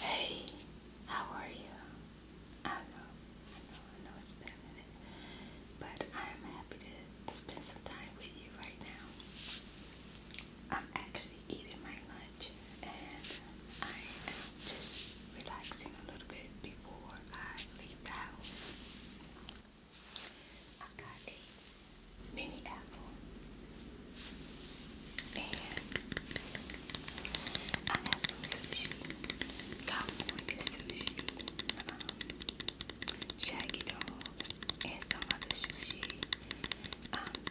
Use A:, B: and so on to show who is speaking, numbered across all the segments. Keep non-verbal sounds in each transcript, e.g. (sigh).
A: Hey, how are you? I know, I know, I know it's been a minute, but I am happy to spend some time with you right now. I'm actually eating my lunch and I am just relaxing a little bit before I leave the house. I got a mini apple, and I have some sushi, California sushi, um, shaggy dog, and some other sushi. Um,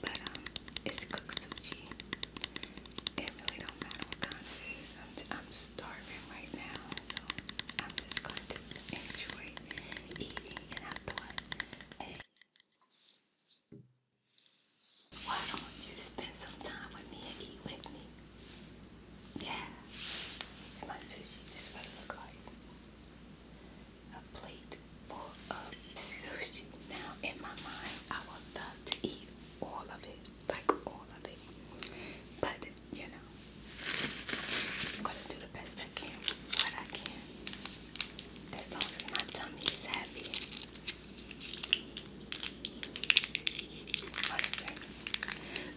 A: but um, it's cooked sushi. It really don't matter what kind its I'm, I'm starving right now so I'm just going to enjoy eating. And I thought, hey, why don't you spend some time with me and eat with me? Yeah, it's my sushi. This what it looks like. A plate full of sushi. Now, in my mind, I would love to eat all of it, like all of it. But, you know, I'm gonna do the best I can, what I can. As long as my tummy is happy. Mustard.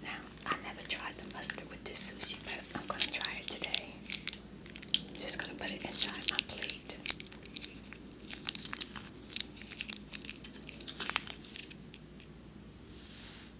A: Now, I never tried the mustard with this sushi, but I'm gonna try it today. I'm just gonna put it inside my plate.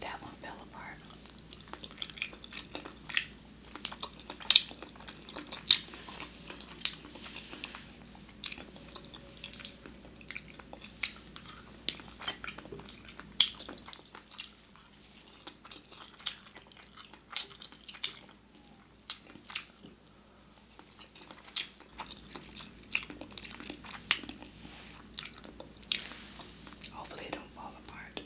A: That one fell apart. Hopefully don't fall apart.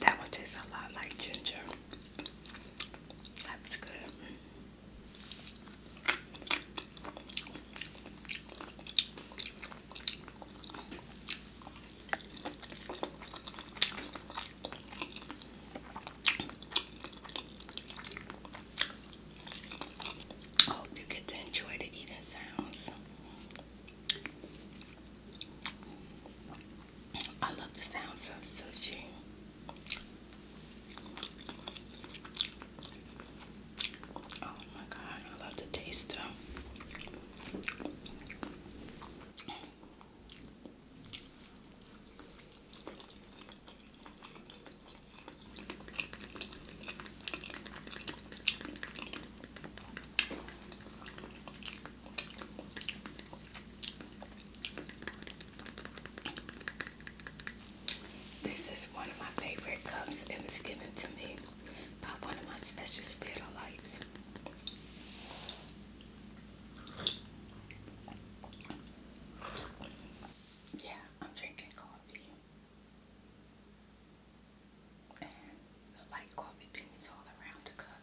A: That one tastes a lot like ginger. That's good. I hope you get to enjoy the eating sounds. I love the sounds of sushi. Oh my god, I love the taste though. This is one of my favorite cups and it's given to me by one of my special spiritualites. Yeah, I'm drinking coffee. And the light coffee beans all around the cup.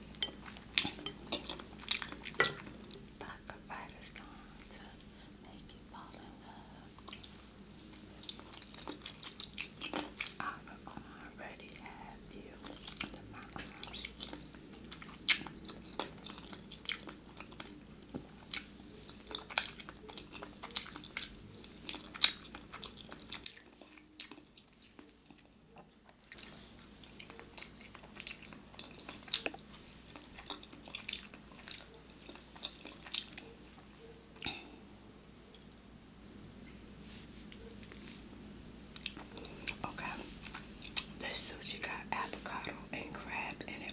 A: I could write a song to make you fall in love. I would already have you under my arms. Okay, this sushi got avocado and crab in it.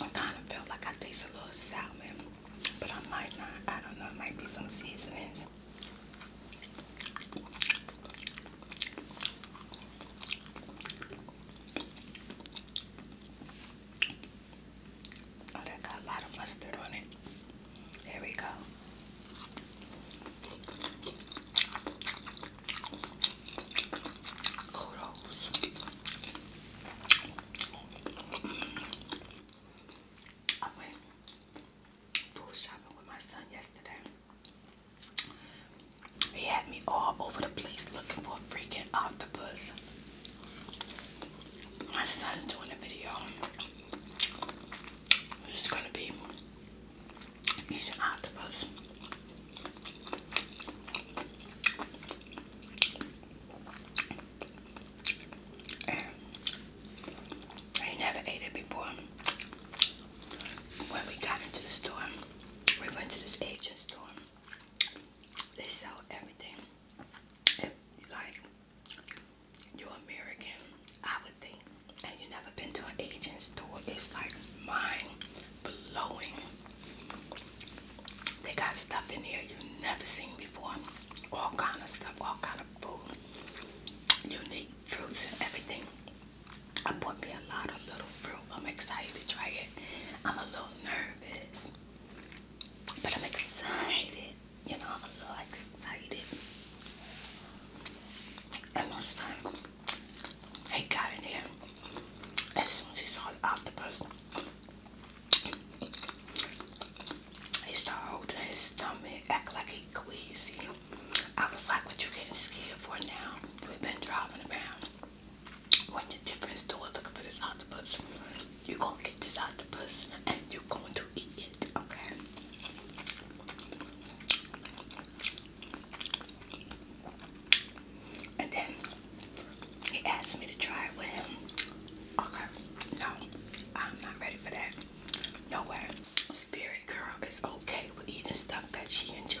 A: I kind of felt like I tasted a little salmon, but I might not. I don't know. It might be some seasonings. Oh, that got a lot of mustard on it. There we go. I went food shopping with my son yesterday. He had me all over the place looking for freaking octopus. My son's doing a video. It's gonna be he's octopus. I never ate it before. When we got into the store, we went to this Asian store. They sell everything. If, like, you're American, I would think, and you have never been to an Asian store, it's like mine blowing. They got stuff in here you've never seen before. All kind of stuff, all kind of food. Unique fruits and everything. I bought me a lot of little fruit. I'm excited to try it. I'm a little nervous. But I'm excited. You know, I'm a little excited. And most excited. He got in here as soon as he saw the octopus. He started holding his stomach, act like he queasy. I was like, what you getting scared for now? We've been driving around. Went to different stores looking for this octopus. You're gonna get this octopus and you're going to eat it, okay? And then he asked me to try it with him. Okay, no, I'm not ready for that. No way. Spirit girl is okay with eating stuff that she enjoy.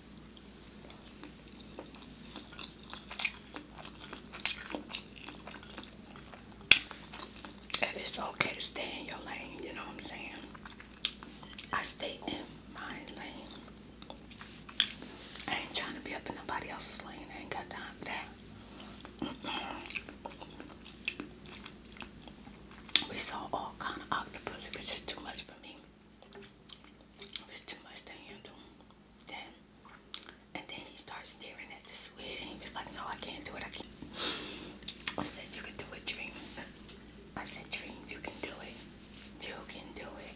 A: it's okay to stay in your lane, you know what I'm saying? I stay in my lane. I ain't trying to be up in nobody else's lane. I ain't got time for that. (clears throat) We saw all kind of octopus. It was just too much for me. It was too much to handle. Then, and then he started staring at the sweat. He was like, "No, I can't do it. I can't." I said, "You can do it, Dream." I said, "Dream, you can do it. You can do it."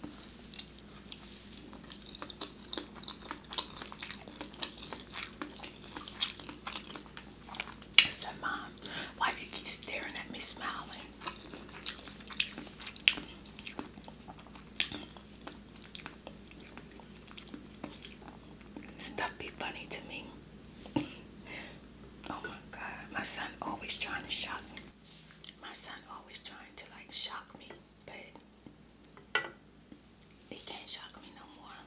A: I said, Mom, why do you keep staring at me smiling? Stuff be funny to me. oh my god, my son always trying to shock me. My son always trying to like shock me, but he can't shock me no more.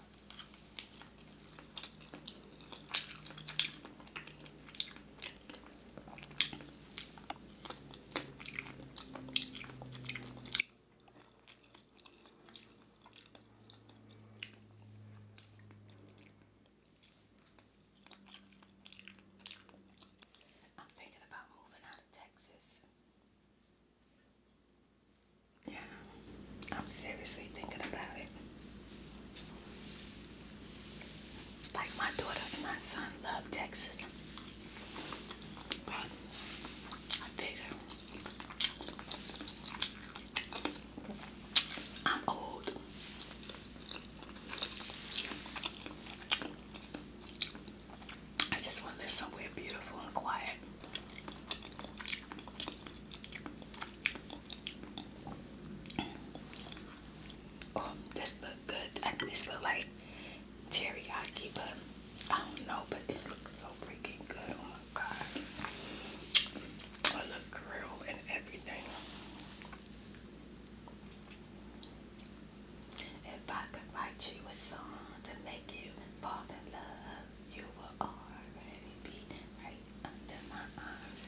A: I'm thinking about moving out of Texas. Yeah, I'm seriously thinking about it. Like my daughter and my son love Texas. But I figure I'm old. I just want to live somewhere beautiful and quiet. Oh, this look good. I think look like teriyaki, but I don't know. But it looks so freaking good. Oh my god! I look grilled and everything. If I could write you a song to make you fall in love, you will already be right under my arms.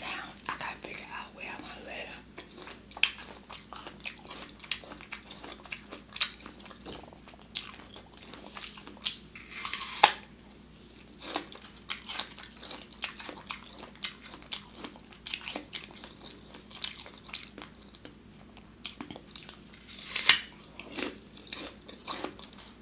A: Now I gotta figure out where I'm gonna live.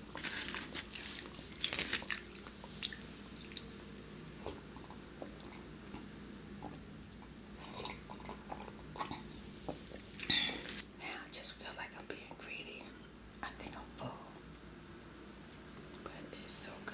A: Now I just feel like I'm being greedy. I think I'm full. But it's so good.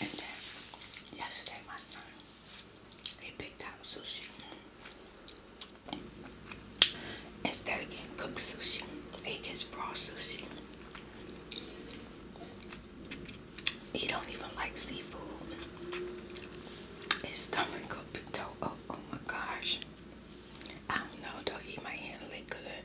A: And then yesterday my son he picked out sushi. Instead of getting cooked sushi, he gets raw sushi. He don't even like seafood. His stomach up and toe. Oh, oh my gosh. I don't know though, he might handle it good.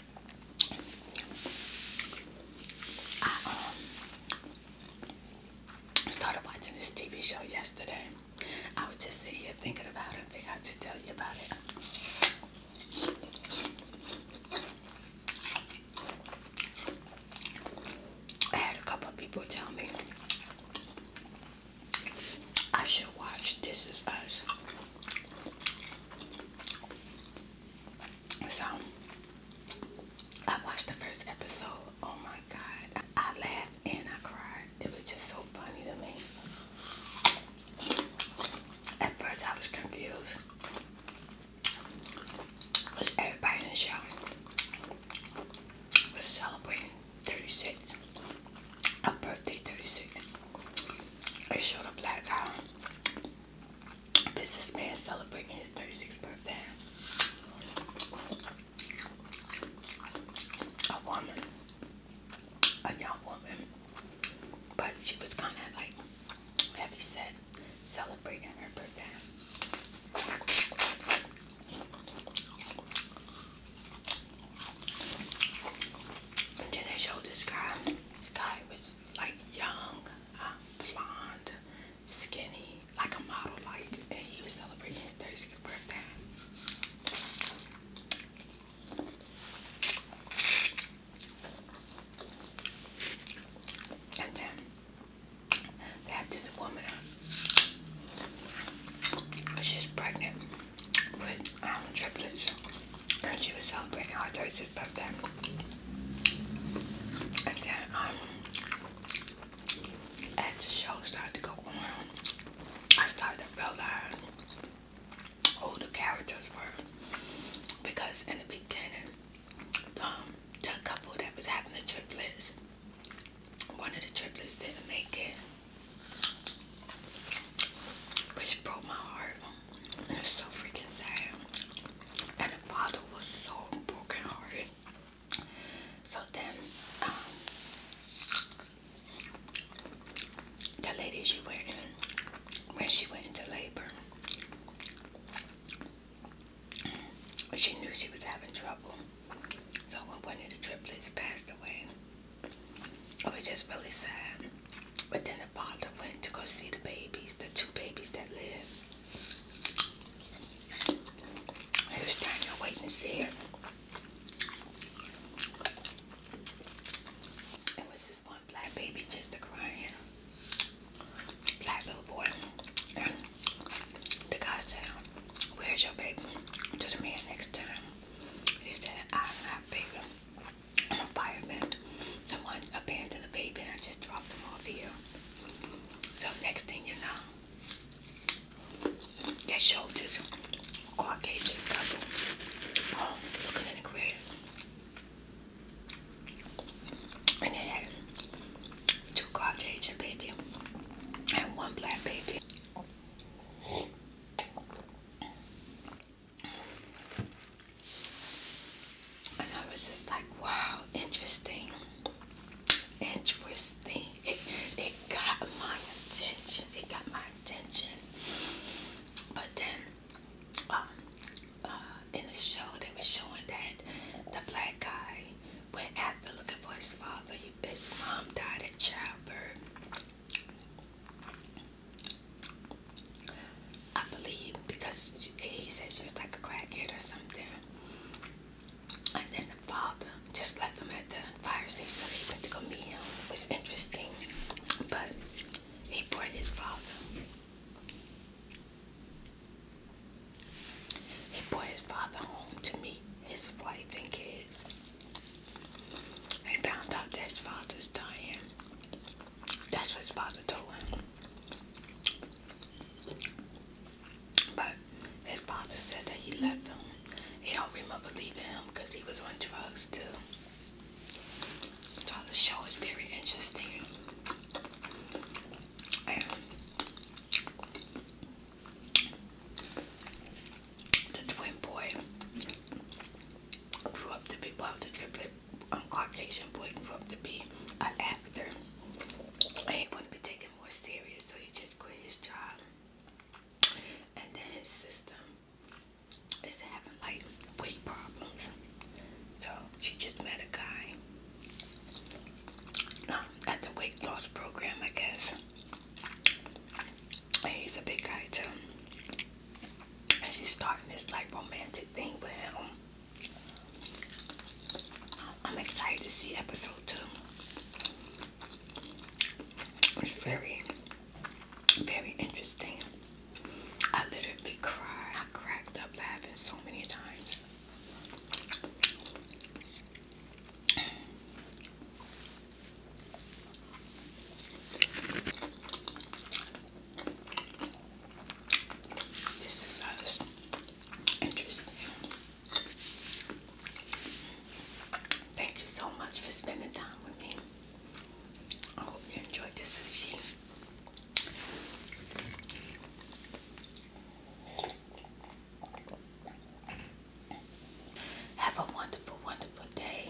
A: I started watching this TV show yesterday. I was just sitting here thinking about it. I I'll just tell you about it. I had a couple of people tell me I should watch This Is Us. So I watched the first episode. Oh my god. I laughed and I cried. It was just so funny to me. At first I was confused. Was everybody in the show was celebrating 36 a birthday 36. It showed a black guy, a businessman celebrating his 36th birthday. A woman, a young woman, but she was kind of like heavy said celebrating her birthday. And they showed this guy. This guy was like young, uh, blonde, skinny, like a model, like, and he was celebrating his 36th birthday. And then they had this woman. She's pregnant with um, triplets and she was celebrating her daughter's birthday and then um, as the show started to go on I started to realize who the characters were because in the beginning um, the couple that was having the triplets one of the triplets didn't make it which broke my heart. And was so freaking sad. And the father was so broken hearted. So then, um, the lady she went when she went into labor, she knew she was having trouble. So when one of the triplets passed away, I was just really sad. But then the father went to go see the babies, the two babies that live. He was standing there waiting to see her. It was this one black baby just a crying. Black little boy. the guy said, Where's your baby? To the man next time. He said, I'm baby. I'm a fireman. Someone abandoned a baby and I just dropped them off here. So next thing you know, they showed this Caucasian couple. looking in the crib. And they had two Caucasian baby and one black baby. And I was just like, wow, interesting. Interesting. It, it got my attention. It got my attention. But then, um, uh, in the show, they were showing that the black guy went after looking for his father. His mom died at childbirth. I believe because he said she was like a crackhead or something. And then the father just left them at the fire station he went to go meet him. It was interesting. But he brought his father. He brought his father home to meet his wife and kids. He found out that his father's dying. That's what his father told him. But his father said that he left him. He don't remember leaving him because he was on drugs too. So the show is very interesting the twin boy grew up to be, well, the triplet um, Caucasian boy grew up to be an actor. And he wanted to be taken more serious, so he just quit his job. And then his sister is having like weight problems. So she just met a guy um, at the weight loss program, I guess he's a big guy too. And she's starting this like romantic thing with him. I'm excited to see episode two. It's very, very interesting. I literally cried. I cracked up laughing so many times. This is interesting. Thank you so much for spending time with me. I hope you enjoyed the sushi. Have a wonderful, wonderful day.